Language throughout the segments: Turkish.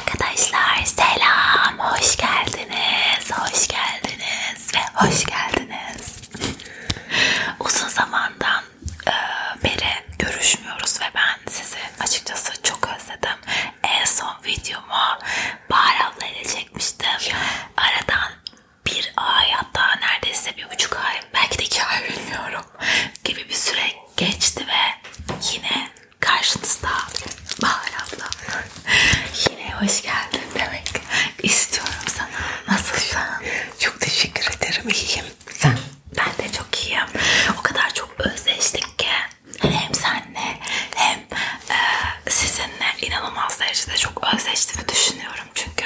Arkadaşlar selam, hoş geldiniz, hoş geldiniz ve hoş geldiniz. Uzun zamandan e, beri görüşmüyoruz ve ben sizi açıkçası çok özledim. En son videomu Bahar abla ile çekmiştim. Aradan bir ay hatta neredeyse bir buçuk ay belki de iki ay bilmiyorum gibi bir süre geçti ve yine karşınızda Bahar abla. Yine hoş geldin demek istiyorum sana. Nasılsın? Çok teşekkür ederim. İyiyim. Sen? Ben de çok iyiyim. O kadar çok özleştik ki hem senle hem e, sizinle inanılmaz derecede çok özleştiğimi düşünüyorum. Çünkü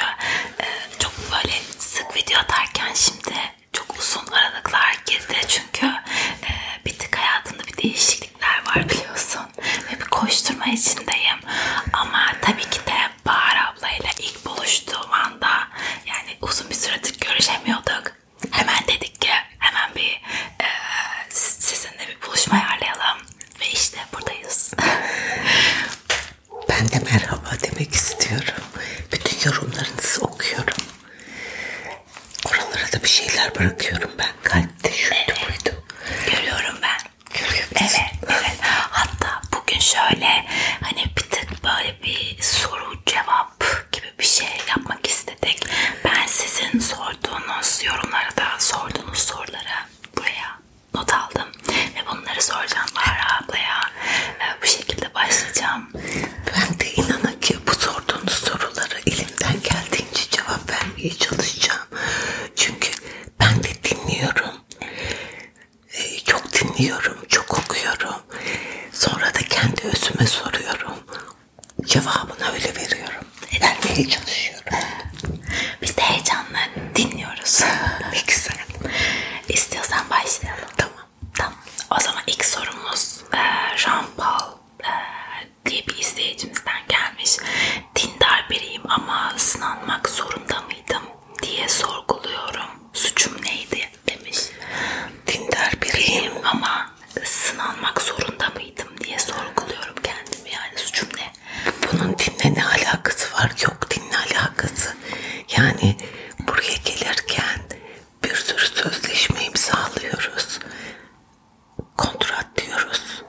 e, çok böyle sık video atarken şimdi çok uzun aralıklar girdi. Çünkü e, bir tık hayatımda bir değişiklikler var biliyorsun. Ve bir koşturma içindeyim. Ama tabii ki de Bahar ablayla ilk buluştuğum anda yani uzun bir süredir görüşemiyorduk. Hemen dedik ki hemen bir e, sizinle bir buluşma ayarlayalım. Ve işte buradayız. ben de merhaba demek istiyorum. Bütün yorumlarınızı okuyorum. Oralara da bir şeyler bırakıyorum ben. Kalpte şu evet. koydum. Görüyorum ben. Görüyor musun? Evet, evet. Hatta bugün şöyle hani bir tık böyle bir soru cevap gibi bir şey yapmak istedik. Ben sizin sorduğunuz yorumlara da sorduğunuz sorulara buraya not aldım. Ve bunları soracağım Bahar ablaya. Bu şekilde başlayacağım. Ben de inanın ki bu sorduğunuz sorulara elimden geldiğince cevap vermeye çalışacağım. Çünkü ben de dinliyorum. Ee, çok dinliyorum, çok okuyorum. Sonra da kendi özüme soruyorum. Cevabını öyle veriyorum. Vermeye çalışıyorum. Biz de heyecanla dinliyoruz. ne güzel. İstiyorsan başlayalım. Tamam. Tamam. O zaman ilk sorumuz e, Jean Paul ee, diye bir izleyicimizden gelmiş. Dindar biriyim ama sınanmak zorunda mıydım diye sorguluyorum. Suçum neydi demiş. Dindar biriyim ama sınanmak zorunda mıydım diye sorguluyorum kendimi yani suçum ne? Bunun dinle ne alakası var? Yok dinle alakası. Yani buraya gelirken bir sürü sözleşme imzalıyoruz kontrat diyoruz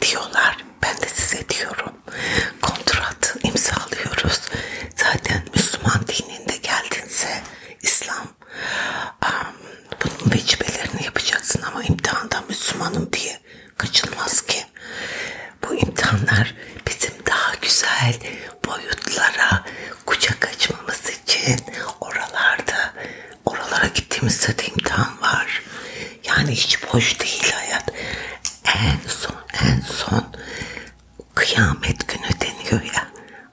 diyorlar. Ben de size diyorum. Kontrat imzalıyoruz. Zaten Müslüman dininde geldinse İslam um, bunun vecibelerini yapacaksın ama imtihanda Müslümanım diye kaçılmaz ki. Bu imtihanlar bizim daha güzel boyutlara, kucak açmamız için oralarda oralara gittiğimizde de imtihan var. Yani hiç boş değil hayat. En son en son kıyamet günü deniyor ya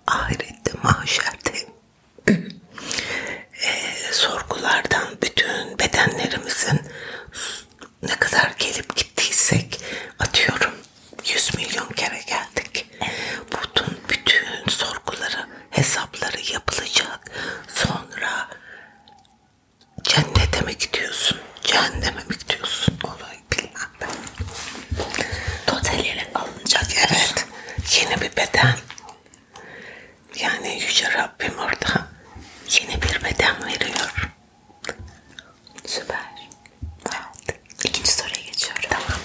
ahirette mahşerde e, sorgulardan bütün bedenlerimizin ne kadar gelip gittiysek atıyorum 100 milyon kere geldik. Bütün, bütün sorguları hesapları yapılacak. Sonra cennete mi gidiyorsun? Cehenneme mi gidiyorsun? Olayı bilmem ben. Toteliyle alınacak. Evet. Yeni bir beden. Yani Yüce Rabbim orada yeni bir beden veriyor. Süper. Evet. İkinci soruya geçiyorum. Tamam.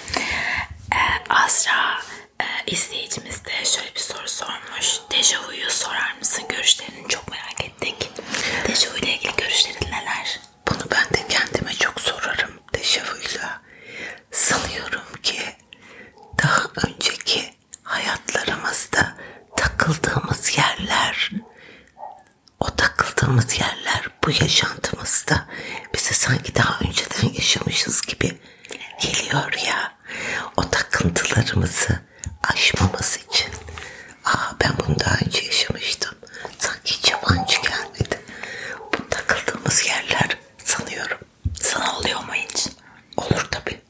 Ee, Azra e, izleyicimiz de şöyle bir soru sormuş. Dejavu'yu sorar mısın? Görüşlerini çok merak ettik. Dejavu ile ilgili görüşlerin neler? Bunu ben de kendime çok sorarım Dejavuyla. Sanıyorum ki daha önceki hayatlarımızda takıldığımız yerler o takıldığımız yerler bu yaşantımızda bize sanki daha önceden yaşamışız gibi geliyor ya. O takıntılarımızı aşmamız için. Aa ben bunu daha önce yaşamıştım. Sanki hiç yabancı gelmedi. Bu takıldığımız yerler sanıyorum. Sana oluyor mu hiç? Olur tabi.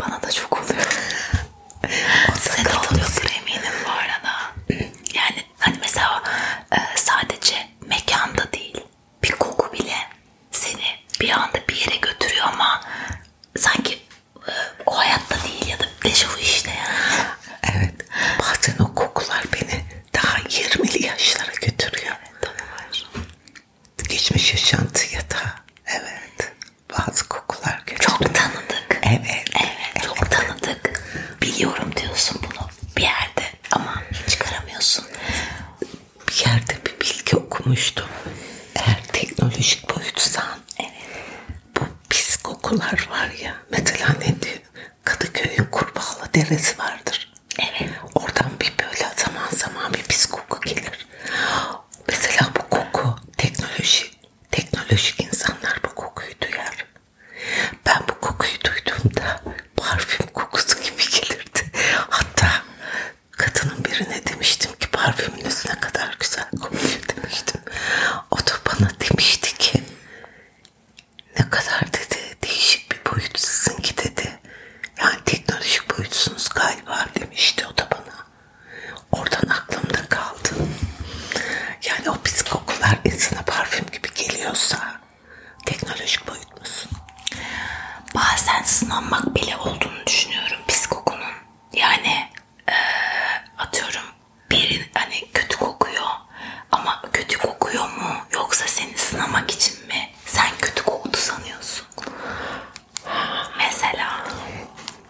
Bana da çok oluyor. Size de oluyordur eminim bu arada. Yani hani mesela e, sadece mekanda değil bir koku bile seni bir anda bir yere götürüyor ama sanki e, o hayatta değil ya da dejavu işte yani. Evet. Bazen o kokular beni daha 20'li yaşlara götürüyor. Evet, tabii Geçmiş yaşantı ya da evet bazı kokular götürüyor. Çok tanıdık. Evet. Evet, evet. çok tanıdık. Biliyorum diyorsun bunu bir yerde. Aman çıkaramıyorsun. Bir yerde bir bilgi okumuştum. Eğer teknolojik boyutsan evet. bu pis kokular var ya. Mesela ne diyor? Kadıköy'ün Kurbağalı Deresi vardır. Evet. Oradan bir böyle zaman zaman bir pis koku gelir. Mesela bu koku teknoloji. Teknolojik insanlar bu kokuyu duyar. Ben bu kokuyu duyduğumda parfüm kokusu gibi gelirdi. Hatta kadının birine demiştim ki parfümünüz ne kadar güzel kokuyor demiştim. O da bana demişti ki ne kadar dedi değişik bir boyut sizinki dedi. Yani teknolojik boyutsunuz galiba demişti o da bana. Oradan aklımda kaldı. Yani o pis kokular insana parfüm gibi geliyorsa teknolojik boyutmusun. Bazen sınanmak bile olduğunu düşünüyorum pis kokunun. Yani e, atıyorum birin hani kötü kokuyor ama kötü kokuyor mu yoksa seni sınamak için mi? Sen kötü koktu sanıyorsun. Mesela.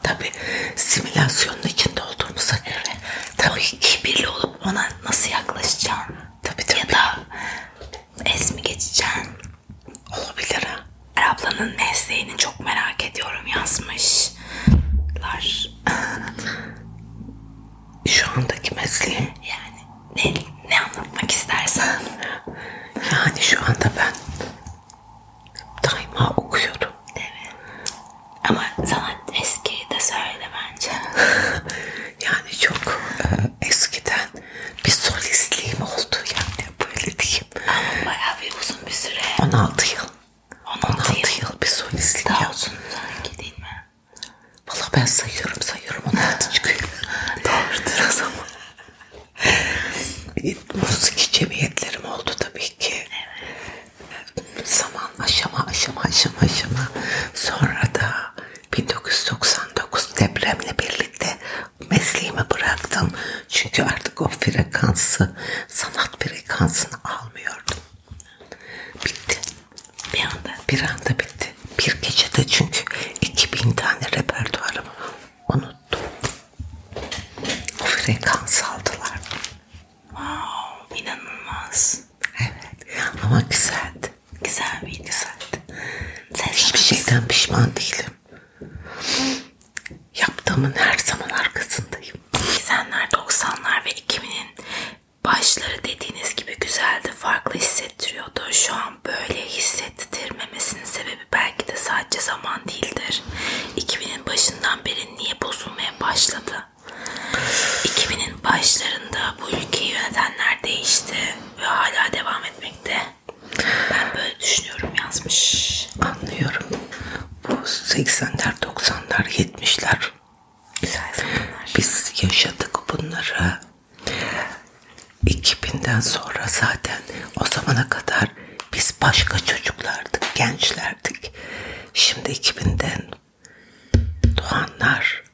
Tabi simülasyonun içinde olduğumuza göre tabii kibirli olup ona nasıl yaklaşacağım? Tabii tabii. Ya da Es mi geçeceksin? Olabilir ha. Ablanın mesleğini çok merak ediyorum yazmışlar. Şu andaki mesleğim? Yani ne, ne anlatmak istersen. Yani şu anda ben daima okuyorum. Evet. Ama sana eskiyi de söyle bence. Yani çok e, eskiden bir solistliğim oldu yani böyle diyeyim. Ama bayağı bir uzun bir süre. 16 yıl. 16, 16 yıl. yıl bir solistlik Daha yaptım. uzun sanki değil mi? Valla ben sayıyorum sayıyorum 16 çıkıyor. Doğrudur o zaman. Müzik cemiyetlerim oldu tabii ki. Evet. Zaman aşama aşama aşama aşama. Sonra da 1999 depremle birlikte mesleğimi bıraktım. Çünkü artık o frekansı, sanat frekansını almıyordum. Bitti. Bir anda, bir anda bitti. Bir gecede çünkü 2000 tane repertuarımı unuttum. O frekansı aldılar. Wow, inanılmaz. Evet ama güzeldi. Güzel miydi? Güzeldi. Sen Hiçbir şeyden pişman değilim. Yaptığımın her zaman arkasındayım. 80'ler, 90'lar ve 2000'in başları dediğiniz gibi güzeldi, farklı hissettiriyordu. Şu an böyle hissettirmemesinin sebebi belki de sadece zaman değildir. 2000'in başından beri niye bozulmaya başladı? 2000'in başlarında bu ülkeyi yönetenler değişti ve hala devam etmekte. Ben böyle düşünüyorum yazmış. Anlıyorum. Bu 80'ler, 90'lar, 70'ler. Güzel zamanlar. Biz yaşadık bunları. 2000'den sonra zaten o zamana kadar biz başka çocuklardık, gençlerdik. Şimdi 2000'den doğanlar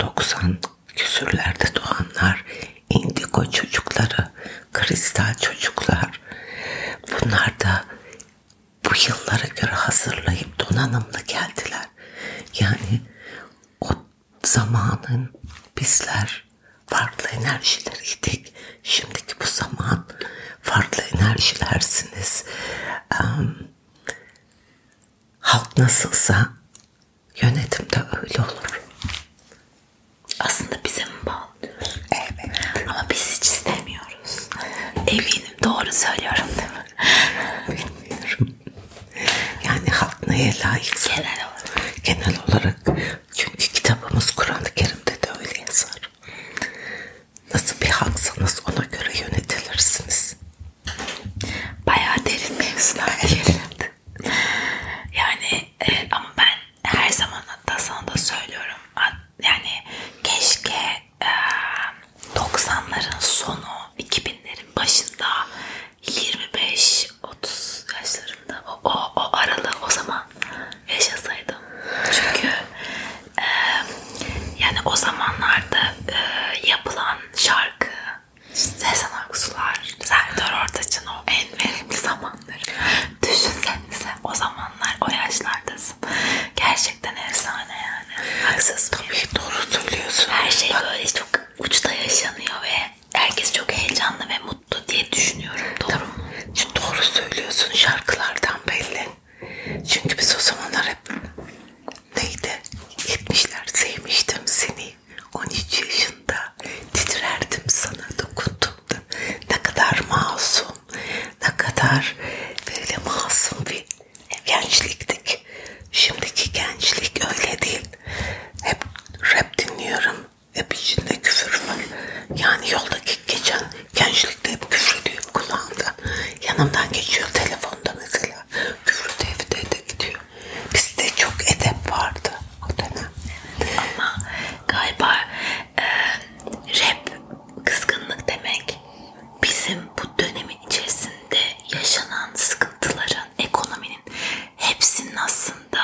90 küsürlerde doğanlar indigo çocukları kristal çocuklar bunlar da bu yıllara göre hazırlayıp donanımlı geldiler. Yani o zamanın bizler farklı enerjileriydik. Şimdiki bu zaman farklı enerjilersiniz halk nasılsa yönetim de öyle olur. Aslında bize mi bağlı? Evet. Ama biz hiç istemiyoruz. Eminim doğru söylüyorum değil mi? Bilmiyorum. Yani halk neye layık? Genel olarak. Genel olarak. Çünkü kitabımız Kur'an-ı Kerim'de de öyle yazar. Nasıl bir halksanız ona göre yönetilirsiniz. Bayağı derin mevzular girildi. yani e, ama ben her zaman hatta sana da söylüyorum. Yani keşke e, 90'ların sonu 2000'lerin başında 25-30 yaşlarında o, o, o aralığı o zaman yaşasaydım. Çünkü e, yani o zamanlarda e, yapılan şarkı Sezen Aksular, Serdar Ortaç'ın o en verimli zamanları. Düşünsenize o zamanlar, o yaşlardasın. Gerçekten efsane yani. Haksız Tabii bir. doğru söylüyorsun. Her şey Bak. böyle çok uçta yaşanıyor ve herkes çok heyecanlı ve mutlu diye düşünüyorum. Doğru Tabii. mu? Şimdi doğru söylüyorsun şarkılardan belli. Çünkü biz o zamanlar hep neydi? 70'ler sevmiştim seni. 13 yaşında titrerdim sana dokunduğumda. Ne kadar masum, ne kadar böyle masum bir gençliktik. Şimdiki gençlik öyle değil. Hep rap dinliyorum. Hep içinde küfür var. Yani yoldaki geçen gençlikte hep küfür ediyor kulağımda. Yanımdan geçiyor telefonda mesela. Küfür evde de gidiyor. Bizde çok edep vardı o dönem. Evet, ama galiba e, rap kızgınlık demek bizim bu dönemin içerisinde yaşanan sıkıntıların, ekonominin hepsinin aslında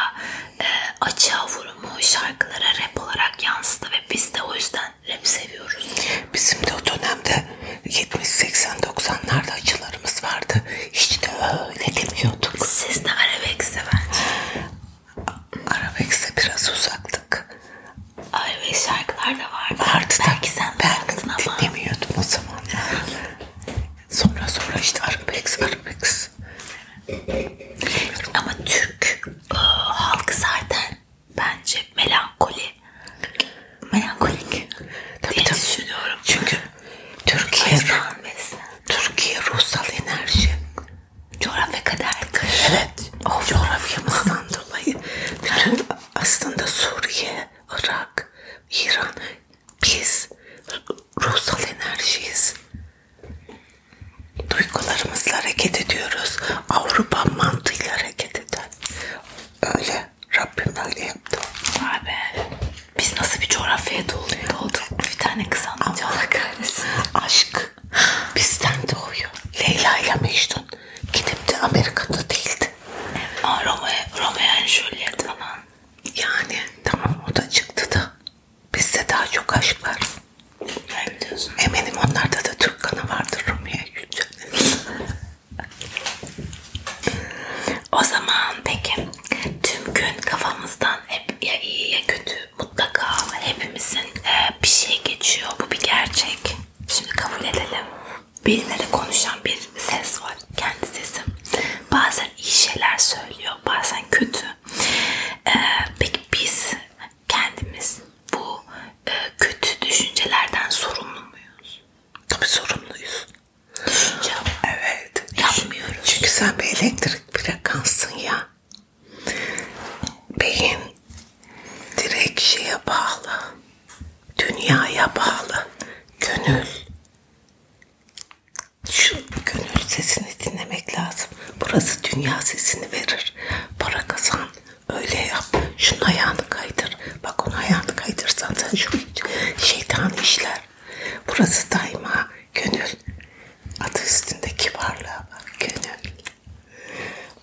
e, açığa vurumu şarkılara rap olarak yansıdı ve biz de o yüzden rap seviyoruz. Bizim de o dönemde işte 70-80-90'larda acılarımız vardı. Hiç de öyle demiyorduk. Siz de Arabex'e bence. Arabex'e biraz uzaktık. Arabex şarkılar da vardı. Vardı da. Belki sen ben ama. dinlemiyordum o zaman. sonra sonra işte Arabex, Arabex. Ama Türk e, halkı zaten bence melankoli melankolik tabii, diye tabii. düşünüyorum. Çünkü Türkiye Türkiye ruhsal enerji. Coğrafya kader. Evet. O coğrafyamızdan dolayı bütün aslında Suriye, Irak, İran biz ruhsal enerjiyiz. Duygularımızla hareket ediyoruz. Avrupa mantığıyla hareket eder. Öyle. Rabbim öyle yaptı. Vay be. Biz nasıl bir coğrafyaya doğduk? Bir tane kız anlatıyor Allah kahretsin. Aşk bizden doğuyor. Leyla ile Mecnun gidip de Amerika'da değildi. Aa, Romeo, Romeo and Juliet falan. Yani tamam o da çıktı da. Bizde daha çok aşk var. Ne diyorsun? Eminim onlarda da Türk kanı vardır Romeo'ya Juliet. O zaman peki tüm gün kafamızdan hep ya iyi ya kötü mutlaka hepimizin e, bir şey geçiyor. Bu bir gerçek. Şimdi kabul edelim. Birileri konuşan bir ses var. Kendi sesim. Bazen iyi şeyler söylüyor. Bazen kötü. E, peki biz kendimiz bu e, kötü düşüncelerden sorumlu muyuz? Tabii sorumluyuz. Ya, evet. Yapmıyoruz. Çünkü sen bir elektrik frekansın ya. Beyin direkt şeye bağlı. Dünyaya bağlı. Gönül. Şu gönül sesini dinlemek lazım. Burası dünya sesini verir. Para kazan. Öyle yap. Şunun ayağını kaydır kayar. Bak onu ayağını kaydırsan sen şu şeytan işler. Burası daima gönül. Adı üstünde kibarlığa bak gönül.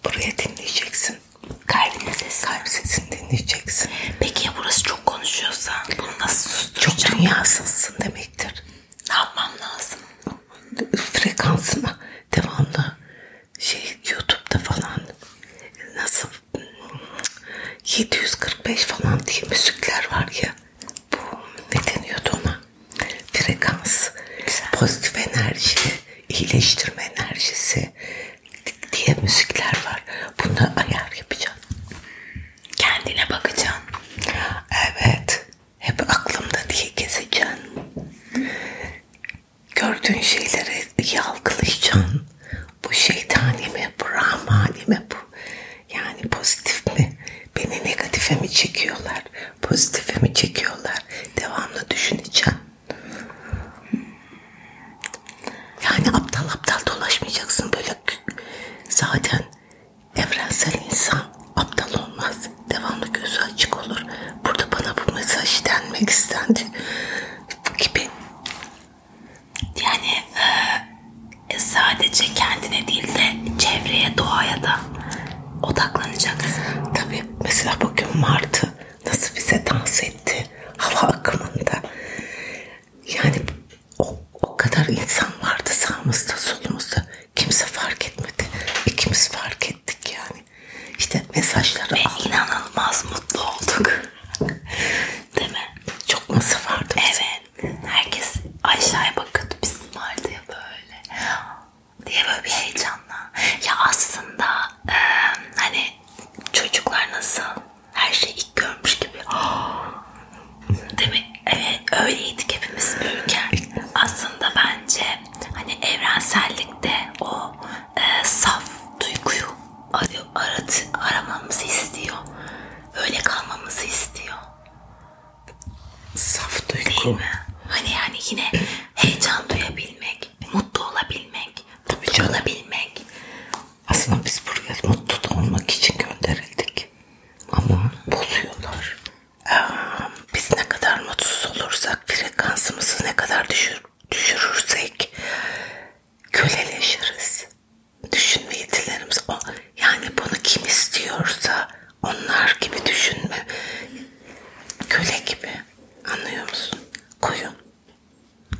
Buraya dinleyeceksin. Kalbin sesi. Kalp sesini dinleyeceksin. Peki ya burası çok konuşuyorsa bunu nasıl susturacağım? Çok dünyasızsın demektir. Ne yapmam lazım? Frekansına devamlı şey YouTube'da falan nasıl 745 falan diye müzikler var ya bu ne deniyordu ona frekans Güzel. pozitif enerji iyileştirme enerjisi diye müzikler var buna ayar yapacağım kendine bakacağım evet hep aklımda diye gezeceğim gördüğün şeyleri yargılayacaksın bu şeytani mi, bu rahmani mi, bu yani pozitif mi? Beni negatife mi çekiyorlar, pozitife mi çekiyorlar? Devamlı düşüneceğim. Yani aptal aptal dolaşmayacaksın böyle. Zaten evrensel insan aptal olmaz. Devamlı gözü açık olur. Burada bana bu mesaj denmek istendi gibi yani e, e, sadece kendine değil de çevreye, doğaya da odaklanacaksın. Tabii mesela bugün Martı nasıl bize dans etti hava akımında. Yani o, o kadar insan vardı sağımızda solumuzda. Kimse fark etmedi. İkimiz fark ettik yani. İşte mesajları Ve aldık. inanılmaz mutlu olduk. Değil mi? Çok masraf vardı. Evet. Herkes aşağıya bakıyordu. Bizim vardı ya böyle. Diye böyle bir heyecanla. Ya aslında e, hani çocuklar nasıl her şeyi ilk görmüş gibi. Değil mi? Evet öyleydik hepimiz büyürken. Aslında bence hani evrensellikte o e, saf duyguyu istiyor. Arat, aramamızı istiyor. Öyle kalmamızı istiyor. Saf duygu. Hani yani yine heyecan duyabilmek, mutlu olabilmek, mutlu olabilmek. Aslında biz buraya mutlu olmak için gönderildik. Ama bozuyorlar. Ee, biz ne kadar mutsuz olursak, frekansımızı ne kadar düşür, düşürürsek köleleşiriz düşünme yetilerimiz o yani bunu kim istiyorsa onlar gibi düşünme köle gibi anlıyor musun koyun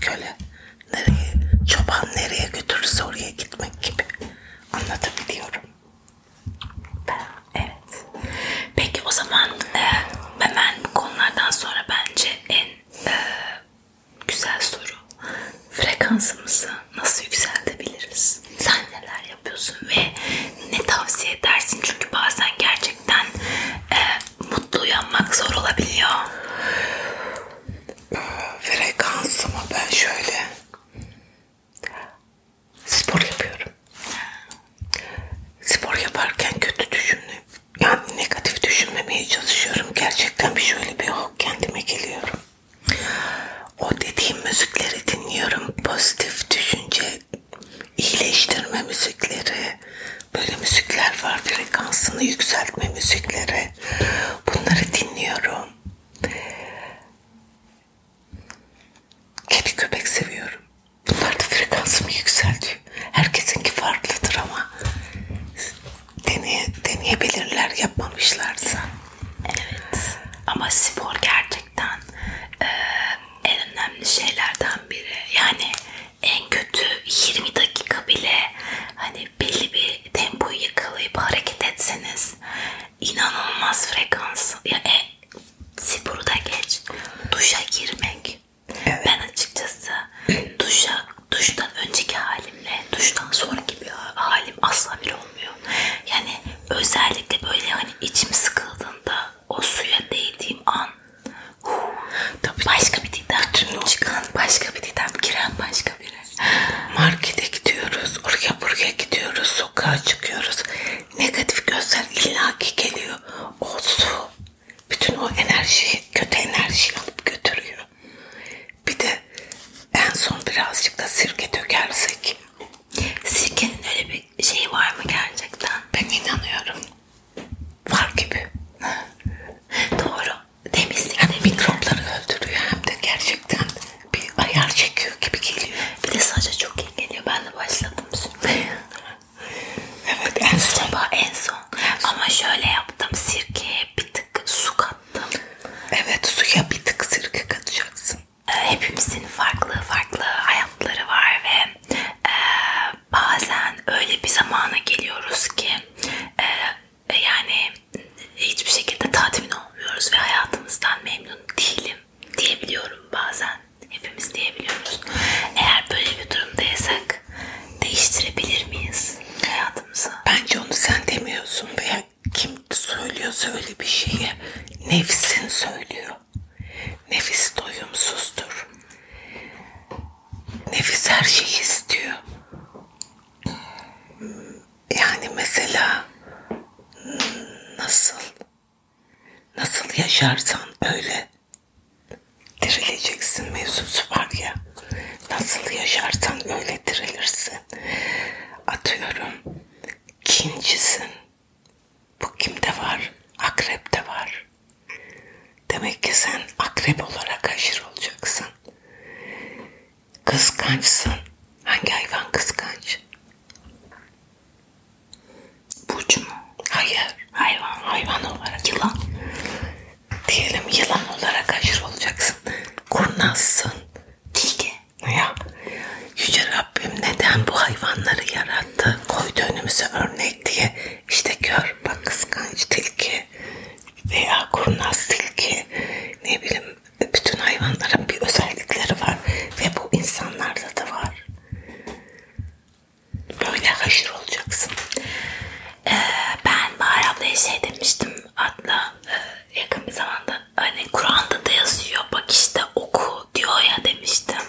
köle nereye çoban nereye götürürse oraya gitmek gibi anlatabiliyorum evet peki o zaman e, hemen bu konulardan sonra bence en e, Güzel soru. Frekansımızı nasıl yükseltebiliriz? Sen neler yapıyorsun ve ne tavsiye edersin? Çünkü bazen gerçekten e, mutlu uyanmak zor olabiliyor. Frekansımı ben şöyle spor yapıyorum. Spor yaparken kötü düşünüp yani negatif düşünmemeye çalışıyorum. Gerçekten bir şöyle bir oh, kendime geliyorum. O dediğim müzikleri dinliyorum. Pozitif düşünce, iyileştirme müzikleri, böyle müzikler var. Frekansını yükseltme müzikleri. Bunları dinliyorum. Kedi köpek seviyorum. Bunlar da frekansımı yükseltiyor. Herkesinki farklıdır ama deneye, deneyebilirler yapmamışlarsa. Evet. Ama spor gerçekten e, en önemli şeylerden biri. Yani en kötü 20 dakika bile hani belli bir tempoyu yakalayıp hareket etseniz inanılmaz frekans. Ya e, sporu da geç. Duşa girmek. Evet. Ben açıkçası duşa duştan önceki halimle duştan sonraki bir halim asla bir olmuyor. Yani özellikle böyle hani içim sıkıldığında o suya değdiğim an huu, Tabii başka bir didem. Bütün çıkan başka bir didem. Giren başka biri. Markete gidiyoruz. Oraya buraya gidiyoruz. Sokağa çıkıyoruz. Negatif gözler illaki geliyor. O su bütün o enerjiyi, kötü enerjiyi alıp götürüyor var. Bir de en son birazcık da sirke dökersek. Sirkenin öyle bir şeyi var mı gerçekten? Ben inanıyorum. Var gibi. Doğru. Temizlik hem mikropları öldürüyor hem de gerçekten bir ayar çekiyor gibi geliyor. Bir de saça çok iyi geliyor. Ben de başladım şimdi. evet en son. Acaba en son ama şöyle yaptım. Sirkeye bir tık su kattım. Evet suya bir tık sirke katacaksın. Ee, hepimizin farklı farklı hayatları var ve e, bazen öyle bir zamana geliyoruz ki e, yani hiçbir şekilde tatmin olmuyoruz ve hayatımızdan memnun değilim diyebiliyorum bazen. Hepimiz diyebiliyoruz. Eğer böyle bir durumdaysak olarak değiştirebilir miyiz hayatımızı? Bence onu sen demiyorsun veya kim söylüyorsa öyle bir şeyi nefsin söylüyor. Nefis doyumsuzdur. Nefis her şeyi istiyor. Yani mesela nasıl nasıl yaşarsan öyle dirileceksin mevzusu var ya. Nasıl yaşarsan öyle dirilirsin. Atıyorum kincisin. Bu kimde var? Akrepte var. Demek ki sen akrep olarak aşırı olacaksın. Kıskançsın. Hangi hayvan kıskanç? Burcu mu? Hayır. Hayvan. Hayvan olarak. Yılan diyelim yılan olarak aşırı olacaksın. Kurnazsın. Tilki. Ya. Yüce Rabbim neden bu hayvanları yarattı? Koydu önümüze örnek diye. İşte gör bak kıskanç tilki veya kurnaz tilki ne bileyim bütün hayvanların bir özellikleri var ve bu insanlarda da var. Böyle haşır olacaksın. Ee, ben Bahar ablaya şey demiştim Adla e, yakın bir zamanda hani Kur'an'da da yazıyor bak işte oku diyor ya demiştim.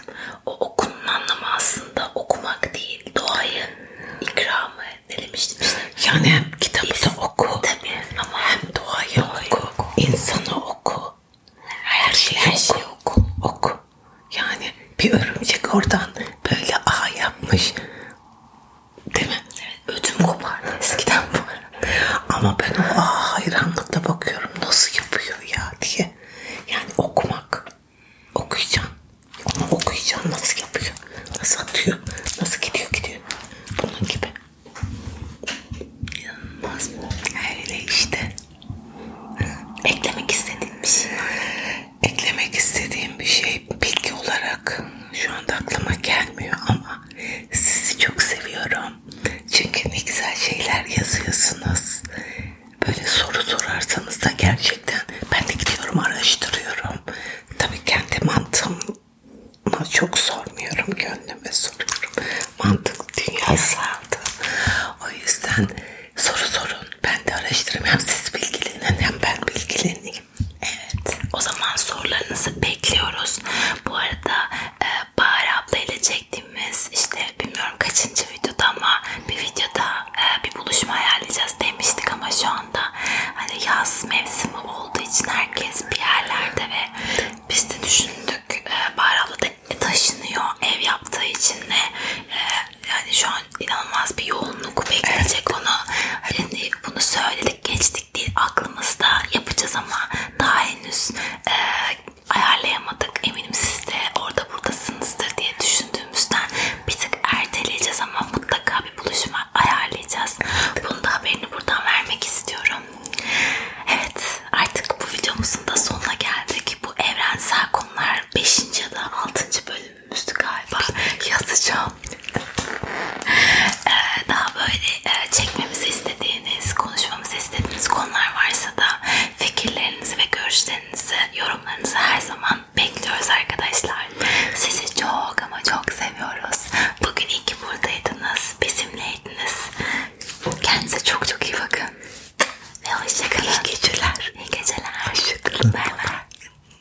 O okunun anlamı aslında okumak değil doğayı ikramı ne demiştim işte. Yani hem kitabı Biz, da oku tabii, ama hem doğayı, doğayı oku, oku, insanı oku, her şeyi, her şeyi oku. oku, oku. Yani bir örümcek oradan böyle ağ yapmış. Değil mi? Evet. Ödüm kopardı eskiden bu arada. Ama ben o aa, hayranlıkla bakıyorum nasıl yapıyor ya diye. Yani okumak. Okuyacağım. Onu okuyacağım nasıl yapıyor. Nasıl atıyor. Nasıl gidiyor gidiyor. Bunun gibi. İnanılmaz mı? Öyle işte. Eklemek istediğim bir şey var eklemek istediğim bir şey bilgi olarak şu anda aklıma gelmiyor ama sizi çok seviyorum. Çünkü ne güzel şeyler yazıyorsunuz. Böyle soru sorarsanız da gerçekten ben de gidiyorum araştırıyorum. Tabii kendi mantığıma çok sormuyorum. Gönlüme soruyorum. Mantık dünyası aldı. O yüzden soru sorun. Ben de araştırırım. Hem siz bilgilenin hem ben bilgileneyim. Evet. O zaman sorularınızı bekliyoruz. Bu arada e, Bahar abla ile çektiğimiz işte bilmiyorum kaçıncı videoda ama bir videoda e, bir buluşma ayarlayacağız demiştik ama şu anda hani yaz mevsimi olduğu için herkes bir yerlerde ve biz de düşündük e, Bahar abla da taşınıyor ev yaptığı için de e, yani şu an inanılmaz bir yoğunluk bekleyecek evet. onu. Hani bunu söyledik geçtik değil aklımızda yapacağız ama daha henüz e, ayarlayamadık. Eminim siz de orada buradasınızdır diye düşündüğümüzden bir tık erteleyeceğiz ama mutlaka bir buluşma ayarlayacağız. Bunu da haberini buradan vermek istiyorum. Evet artık bu videomuzun da sonuna geldik. Bu evrensel konular 5. ya da 6. bölüm albümümüzdü galiba yazacağım. ee, daha böyle e, çekmemizi istediğiniz, konuşmamızı istediğiniz konular varsa da fikirlerinizi ve görüşlerinizi, yorumlarınızı her zaman bekliyoruz arkadaşlar. Sizi çok ama çok seviyoruz. Bugün iyi ki buradaydınız, bizimleydiniz. Kendinize çok çok iyi bakın. Ve hoşçakalın. İyi geceler. İyi geceler. Hoşçakalın. Bye bye.